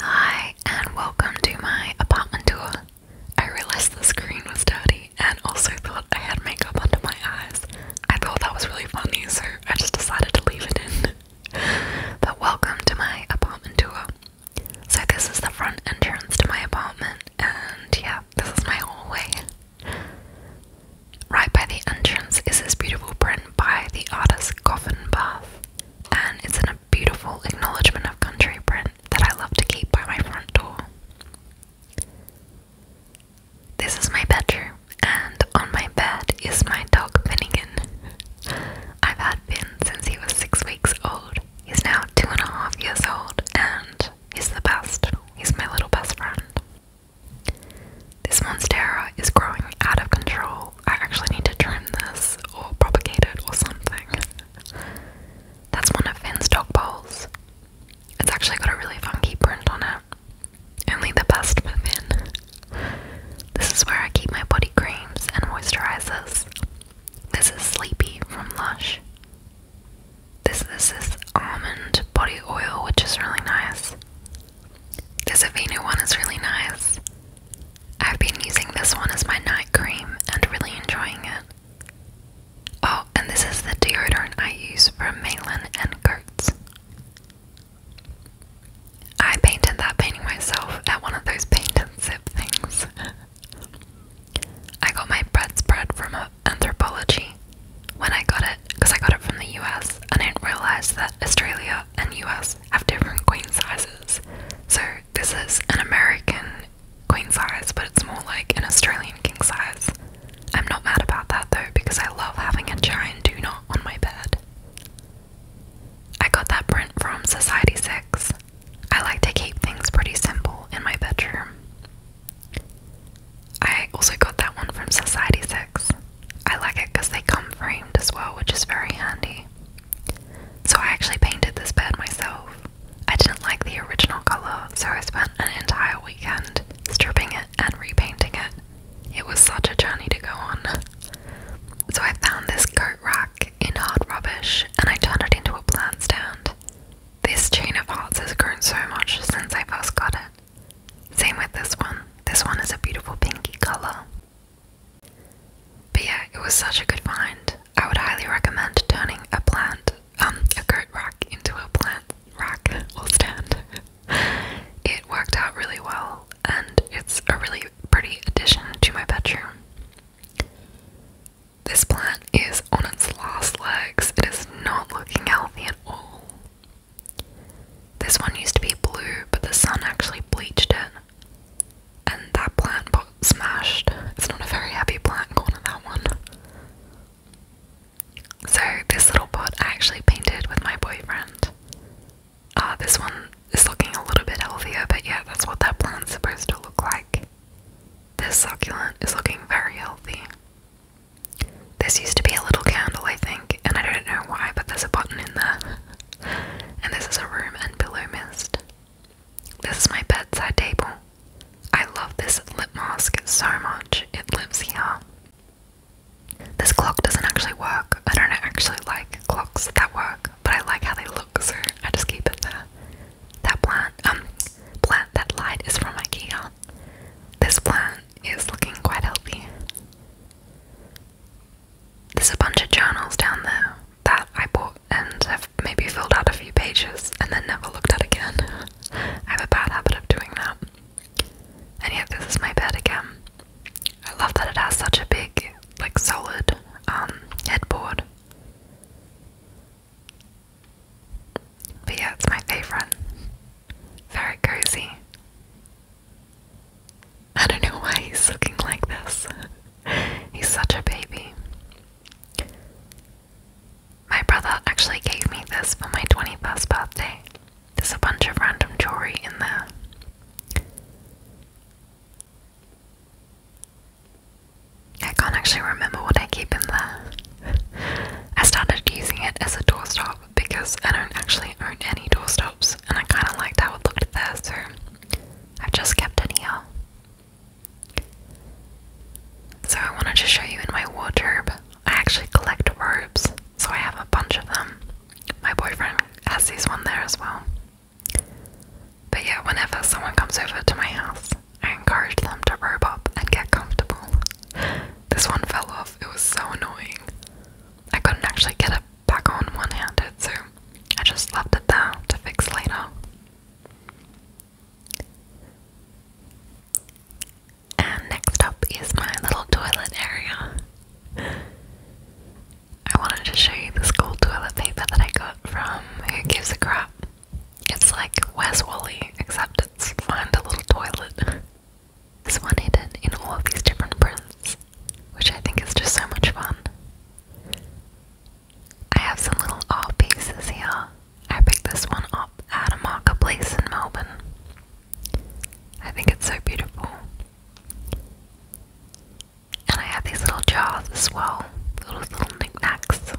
Hi, and welcome to my apartment tour. I realized the screen was dirty and also thought I had makeup under my eyes. I thought that was really funny, so I just decided to leave it in. but welcome to my apartment tour. So, this is the front entrance to my apartment, and yeah, this is my hallway. Right by the entrance is this beautiful print by the artist Coffin Bath and it's in a beautiful acknowledgement of country print that I love to keep by my front door. This is my bedroom, and on my bed is my dog Finnegan. I've had Finn since he was six weeks old. He's now two and a half years old, and he's the best. He's my little best friend. This monstera is growing out of control I actually need to trim this or propagate it or something. That's one of Finn's dog bowls. It's actually got a really funky print on it. Only the best for Finn. This is where I keep my body creams and moisturizers. This is Sleepy from Lush. This, this is almond body oil, which is really nice. This Aveeno one is really nice. I've been using this one as my night cream and really enjoying it. Oh, and this is the deodorant I use from Malin and Coats. I painted that painting myself at one of those paint and sip things. I got my bread spread from anthropology when I got it because I got it from the US. I didn't realize that Australia and US have different queen sizes. So this is an American queen size, but it's more like an Australian king size. I'm not mad about that though because I love having a giant do not on my bed. I got that print from Society 6. I like to keep things pretty simple in my bedroom. I also got that one from Society 6. I like it because they come framed as well, which is very handy. So I actually painted this bed myself. I didn't like the original colour, so I spent an entire weekend stripping it and repainting it. It was such a journey to go on. So I found this coat rack in hard rubbish and I turned it into a plant stand. This chain of hearts has grown so much since I first got it. Same with this one. This one is a beautiful pinky colour. But yeah, it was such a good find. I would highly recommend turning a plant, um, a coat rack into a plant rack or stand. it worked out really well, and it's a really pretty addition to my bedroom. This plant is on its last legs. It is not looking healthy at all. This one used to be blue, but the sun actually bleached it, and that plant pot smashed. It's not a very happy plant corner, that one. So, this little pot I actually painted with my boyfriend. Uh, this one is looking a little bit healthier, but yeah, that's what that plant's supposed to look like. This succulent is looking very healthy. This used to be a little candle, I think, and I don't know why, but there's a button in there and this is a room and pillow mist. This is my bedside table. I love this lip mask so much. It lives here. This clock doesn't actually work. I don't actually like clocks that work, but I like how they look, so I just keep it there. That plant, um, plant that light is from IKEA. This plant is looking quite healthy. There's a bunch of journals down there that I bought and i have maybe filled out a few pages and then never looked at again. I have a bad habit of doing that. And yet, this is my bed again. I love that it has such a big, like, solid um, headboard. But yeah, it's my favorite. Very cozy. I don't know why he's looking like this. he's such a baby. My brother actually gave me this for my 21st birthday. There's a bunch of random jewelry in there. I can't actually remember what I keep in there. I started using it as a doorstop because I don't actually own any doorstops and I kind of liked how it looked there, so I've just kept it here. So I wanted to show you in my wardrobe. I actually collect robes, so I have a bunch of them. My boyfriend has these one there as well. But yeah, whenever someone comes over to my house, I encourage them to robe up and get comfortable. This one fell off, it was so annoying. I couldn't actually get it back on one handed, so I just left it there to fix later. And next up is my little toilet area. I wanted to show you the school toilet paper that I got from Who Gives a Crap. It's like Where's Wally, except it's Find a Little Toilet. This one hidden in all of these different prints, which I think is just so much fun. I have some little art pieces here. I picked this one up at a marketplace in Melbourne. I think it's so beautiful. And I have these little jars as well, little little knickknacks.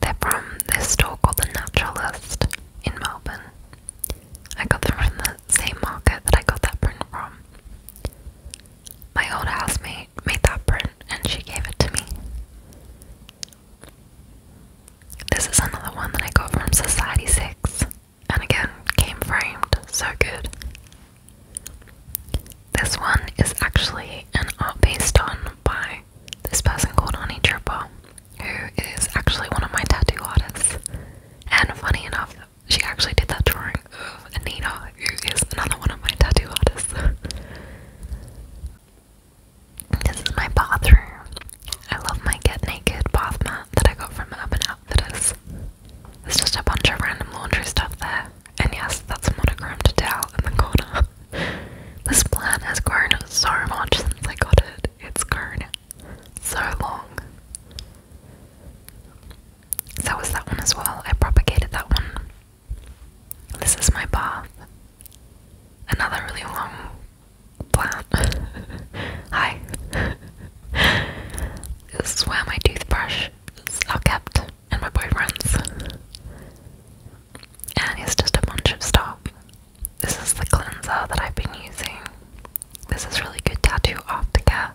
They're from this store called The Naturalist in Melbourne. I got them from the same market that I got that print from. My old housemate made that print and she gave it to me. This is another one that I got from Society 6 and again came framed, so good. This one is actually an art based on by this person called Honey Tripper, who is actually one of my tattoo artists. And funny enough, she actually did that drawing of Anita, who is another one of my tattoo artists. this is my bathroom. I love my Get Naked bath mat that I got from Urban Outfitters. There's just a bunch of random laundry stuff there. And yes, that's monochromed towel in the corner. This plant has grown so much since I got it. It's grown so long. That was that one as well. I propagated that one. This is my bath. Another really long plant. Hi. this is where my toothbrush are kept and my boyfriend's and it's just a bunch of stuff. This is the cleanser that I've been using. This is really good tattoo aftercare.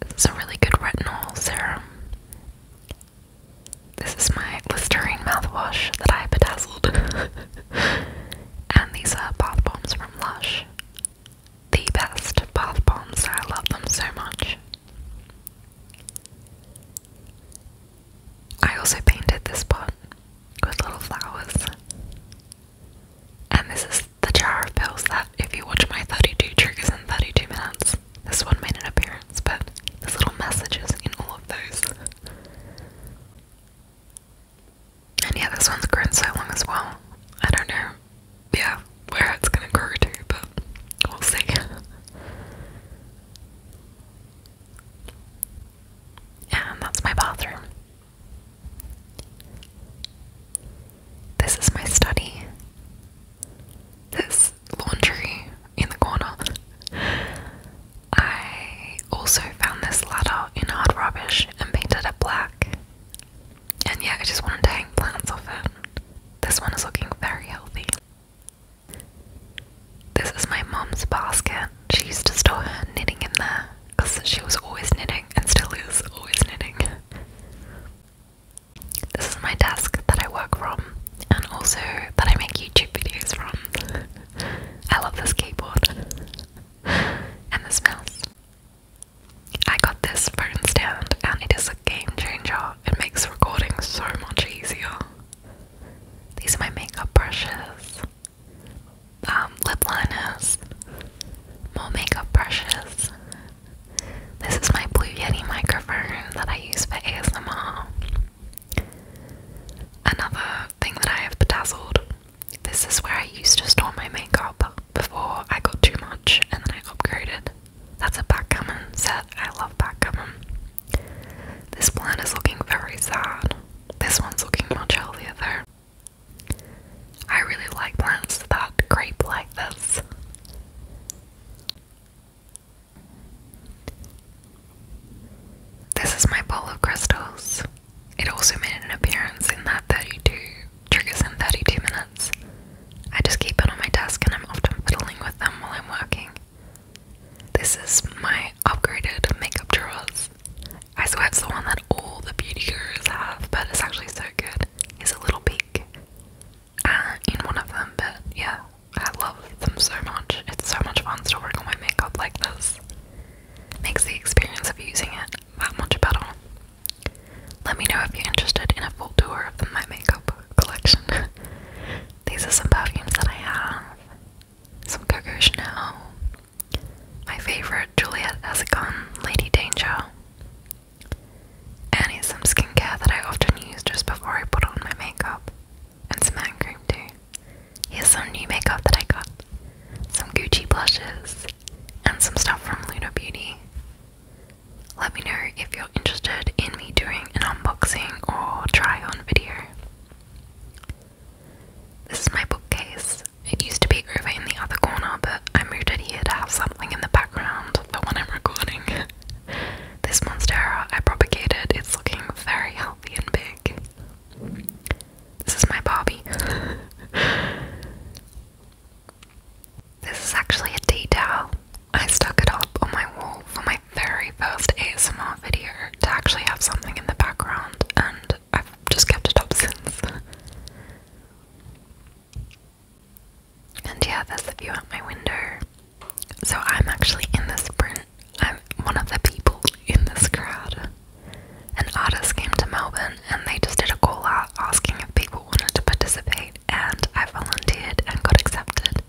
This is a really good retinol serum. This is my Listerine mouthwash that I bedazzled. and these are bath bombs from Lush. The best bath bombs, I love them so much. I also painted this pot with little flowers. And this is the jar of pills that, if you watch my 32 triggers in 32 minutes, this one made an appearance, but there's little messages in all of those. And yeah, this one's grown so long as well. I don't know. Yeah, where it's gonna grow to, but we'll see. and that's my bathroom. This is my study. This laundry in the corner. I also found this ladder in hard rubbish and painted it black. And yeah, I just wanted to hang plants off it. This one is looking very healthy. This is my mom's basket. She used to store her knitting in there because she was always knitting and still is always knitting. This is my desk that I work from and also that I make YouTube videos from. I love this keyboard and this mouse. I got this phone stand and it is a game changer it makes recording so much easier. These are my makeup brushes, um, lip liners, more makeup brushes. This is my Blue Yeti microphone that I use for ASMR. Another thing that I have bedazzled. This is where I used to store my makeup before I got too much and then I upgraded. That's a backgammon set. I love backgammon. This plant is looking very sad. This one's looking much healthier though. I really like plants that creep like this. This is my bowl of crystals. It also made an appearance in that 32 triggers in 32 minutes I just keep it on my desk and I'm often fiddling with them while I'm working. This is my upgraded makeup drawers. I swear it's the one that all the beauty gurus have, but it's actually so good. It's a little peek uh, in one of them, but yeah, I love them so much. It's so much fun to work on my makeup like this. Makes the experience of using it that much better. Let me know if you're interested in a full tour of my makeup collection. These are some perfumes that I have. Some Coco Chanel. My favorite, Juliette Azagon, Lady Danger. And some skincare that I often use just before I put on my makeup. And some hand cream too. Here's some new makeup that I got. Some Gucci blushes. And some stuff from Luna Beauty. Let me know if you're interested in me doing an unboxing or try on video. This is my bookcase. It used to be over in the other corner, but I moved it here to have something in the background for when I'm recording. this monstera I propagated, it's looking very healthy and big. This is my Barbie. This is actually a detail. I stuck it up on my wall for my very first ASMR video to actually have something in the background, and I've just kept it up since. And yeah, that's the view out my window. So I'm actually in this print. I'm one of the people in this crowd. An artist came to Melbourne and they just did a call out asking if people wanted to participate and I volunteered and got accepted.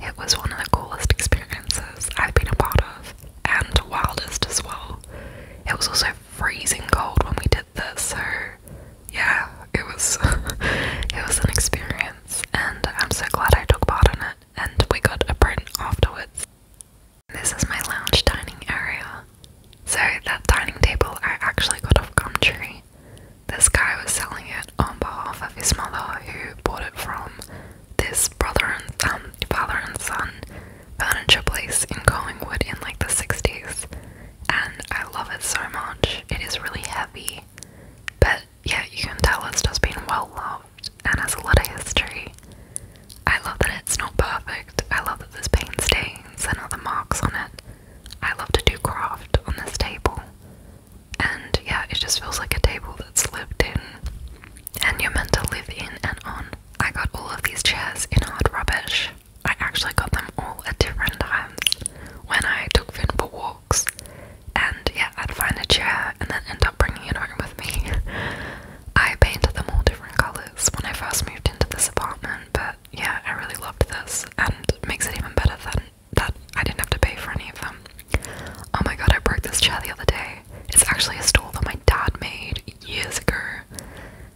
It was one of the coolest experiences I've been a part of and wildest as well. It was also freezing cold when we did this, so yeah, it was it was an experience and I'm so glad I took part in it and we got a print afterwards. This is my lounge dining area. So that dining table I actually got off Gumtree this guy was selling it on behalf of his mother, who bought it from this brother and um, father and son furniture place in Collingwood in like the 60s. And I love it so much. It is really heavy, but yeah, you can tell it's just been well loved and has a lot of history. I love that it's not perfect. I love that there's paint stains and other marks on it. I love to do craft on this table. And yeah, it just feels like a table that's lived in and you're meant to live in and on. I got all of these chairs in hard rubbish. I actually got them all at different times when I took Finn for walks. And yeah, I'd find a chair and then end up bringing it home with me. I painted them all different colours when I first moved into this apartment, but yeah, I really loved this, and makes it even better than that I didn't have to pay for any of them. Oh my god, I broke this chair the other day. It's actually a stool that my dad made years ago,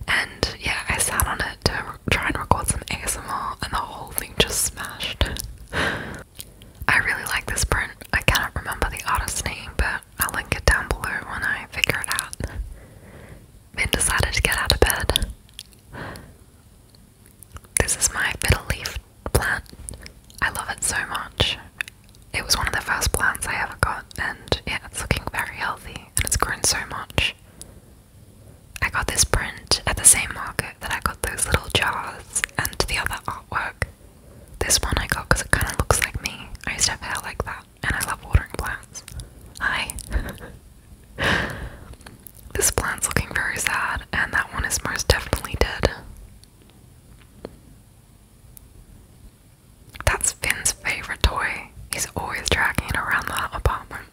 and yeah, I sat on it to try and record some ASMR, and the whole thing just smashed. I really like this print. I cannot remember the artist's name, but I'll link it down below when I figure it out and decided to get out of bed. This is my fiddle leaf plant. I love it so much. It was one of the first plants I ever got, and yeah, it's looking very healthy and it's grown so much. I got this print at the same market that I got those little jars and the other artwork. This one I got because it kind of looks like me. I used to have hair like that and I love watering plants. Hi. this plant's looking very sad, and that one is most definitely dead. That's Finn's favourite toy. He's always dragging it around the apartment.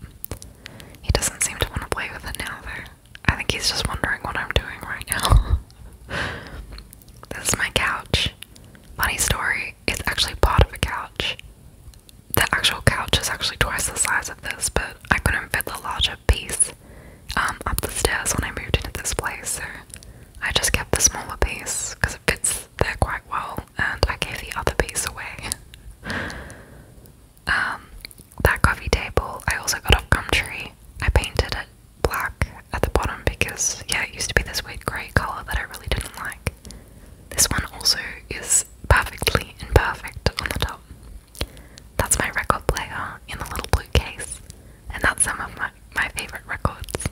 He doesn't seem to want to play with it now, though. I think he's just wondering what I'm doing right now. this is my couch. Funny story, it's actually part of a couch the actual couch is actually twice the size of this, but I couldn't fit the larger piece um, up the stairs when I moved into this place, so I just kept the smaller piece because it fits there quite well, and I gave the other piece away. Um, that coffee table I also got off Gumtree. I painted it black at the bottom because, yeah, it used to be this weird grey colour that I really didn't like. This one also is perfectly imperfect on the top. That's my record player in the little blue case, and that's some of my, my favourite records.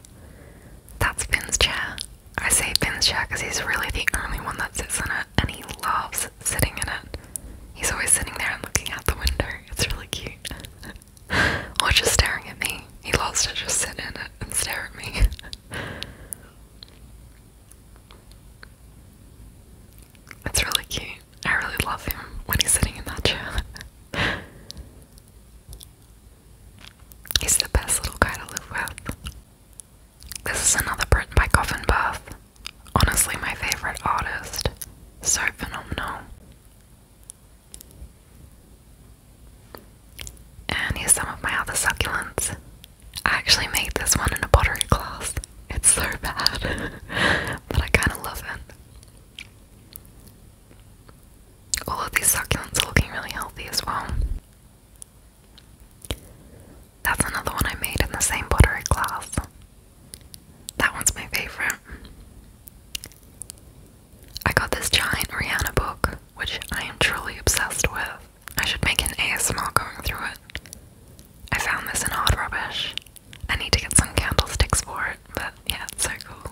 That's Finn's chair. I say Finn's chair because he's really the only one that sits in it, and he loves sitting in it. He's always sitting there and looking out the window. It's really cute. or just staring at me. He loves to just sit in it and stare at me. It's really cute. I really love him when he's sitting in that chair. he's the best little guy to live with. This is another print by Coffin Bath. Honestly, my favourite artist. So phenomenal. And here's some of my other succulents. I actually made this one in a pottery class. It's so bad, but I kind of love it. All of these succulents are looking really healthy as well. That's another one I made in the same pottery class. That one's my favourite. I got this giant Rihanna book, which I am truly obsessed with. I should make an ASMR going through it. I found this in Hard Rubbish. I need to get some candlesticks for it, but yeah, it's so cool.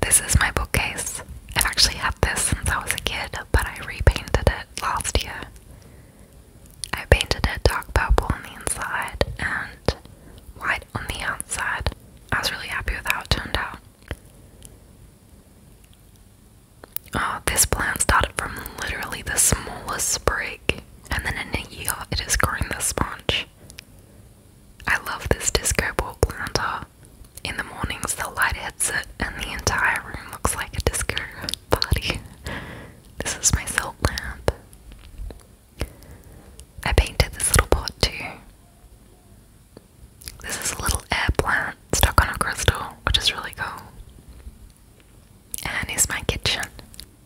This is my bookcase. I've actually had this since I was a kid, but I repainted it last year. I painted it dark purple on the inside and white on the outside. I was really happy with how it turned out. Oh, this plant started from literally the smallest sprig, and then in a year it is growing this sponge. I love this disco ball planter. In the mornings, the light hits it, and the entire room looks like a disco party. This is my silk lamp. I painted this little pot too. This is a little air plant stuck on a crystal, which is really cool. And here's my kitchen.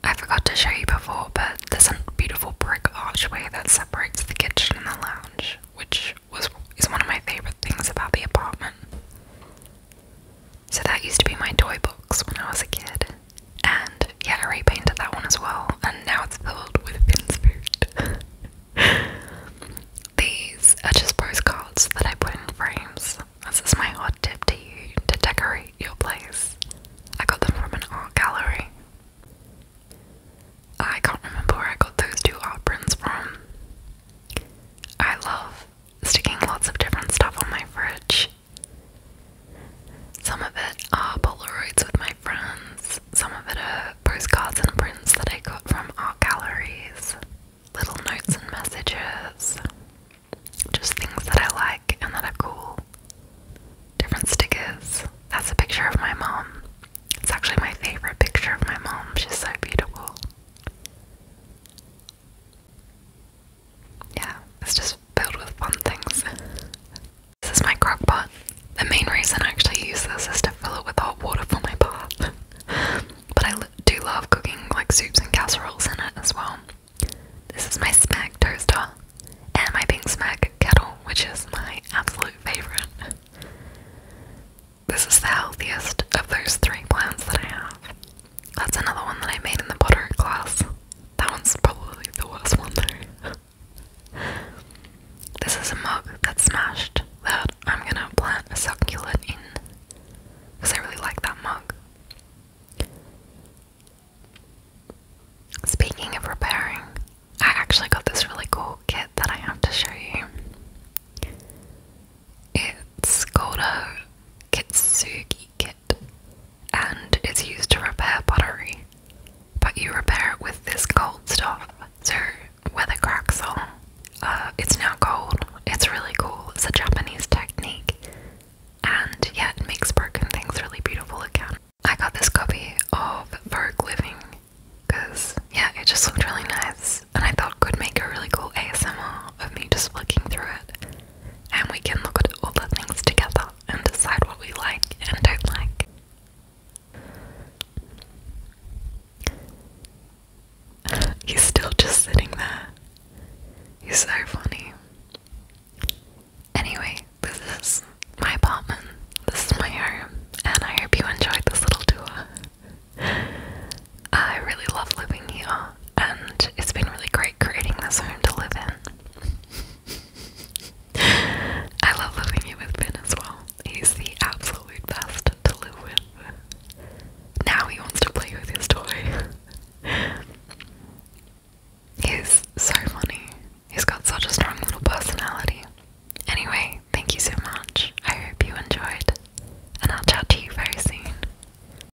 I forgot to show you before, but there's a beautiful brick archway that separates the kitchen and the lounge, which was is one of my favorite things about the apartment. So that used to be my toy box when I was a kid and yeah, I repainted that one as well, and now it's filled with Finn's food. These are just postcards that I put in frames. This is my art tip to you to decorate your place. I got them from an art gallery. I can't remember where I got those two art prints from. I love sticking lots of different stuff on my fridge. Some of it are Polaroids with my friends, some of it are postcards and prints that I got from art galleries, little notes and messages, just things that I like and that are cool. Different stickers. That's a picture of my mom. It's actually my favourite picture of my mom. She's so beautiful yeah, it's just filled with fun things. this is my crock pot. The main reason I actually use this is to fill it with hot water for my bath. but I do love cooking like soups and casseroles in it as well. This is my smack toaster and my pink smack kettle, which is my absolute favourite. This is the healthiest of those three plants that I have. That's another one that I made in the pottery class. That one's probably the worst one though. this is a mug that's smashed that I'm gonna plant a succulent in because I really like that mug. Speaking of repairing, I actually got this really cool kit that I have to show you. It's called a Kitsuki kit and it's used to repair pottery. But you repair it with this gold stuff. So where the cracks are, uh, it's now gold. It's really cool. It's a Japanese technique. And yeah, it makes broken things really beautiful again. I got this copy of Vogue Living because, yeah, it just looked really nice and I thought could make a really cool ASMR of me just looking through it and we can look at all the things together and decide what we like and don't like. He's still just sitting there. He's so funny. Anyway, this is my apartment. This is my room, and I hope you enjoyed this little tour. I really love living here, and it's been really great creating this home to live in. I love living here with Ben as well. He's the absolute best to live Now he wants to play with his toy. He's so funny. He's got such a strong little personality. Anyway, thank you so much. I hope you enjoyed, and I'll chat to you very soon.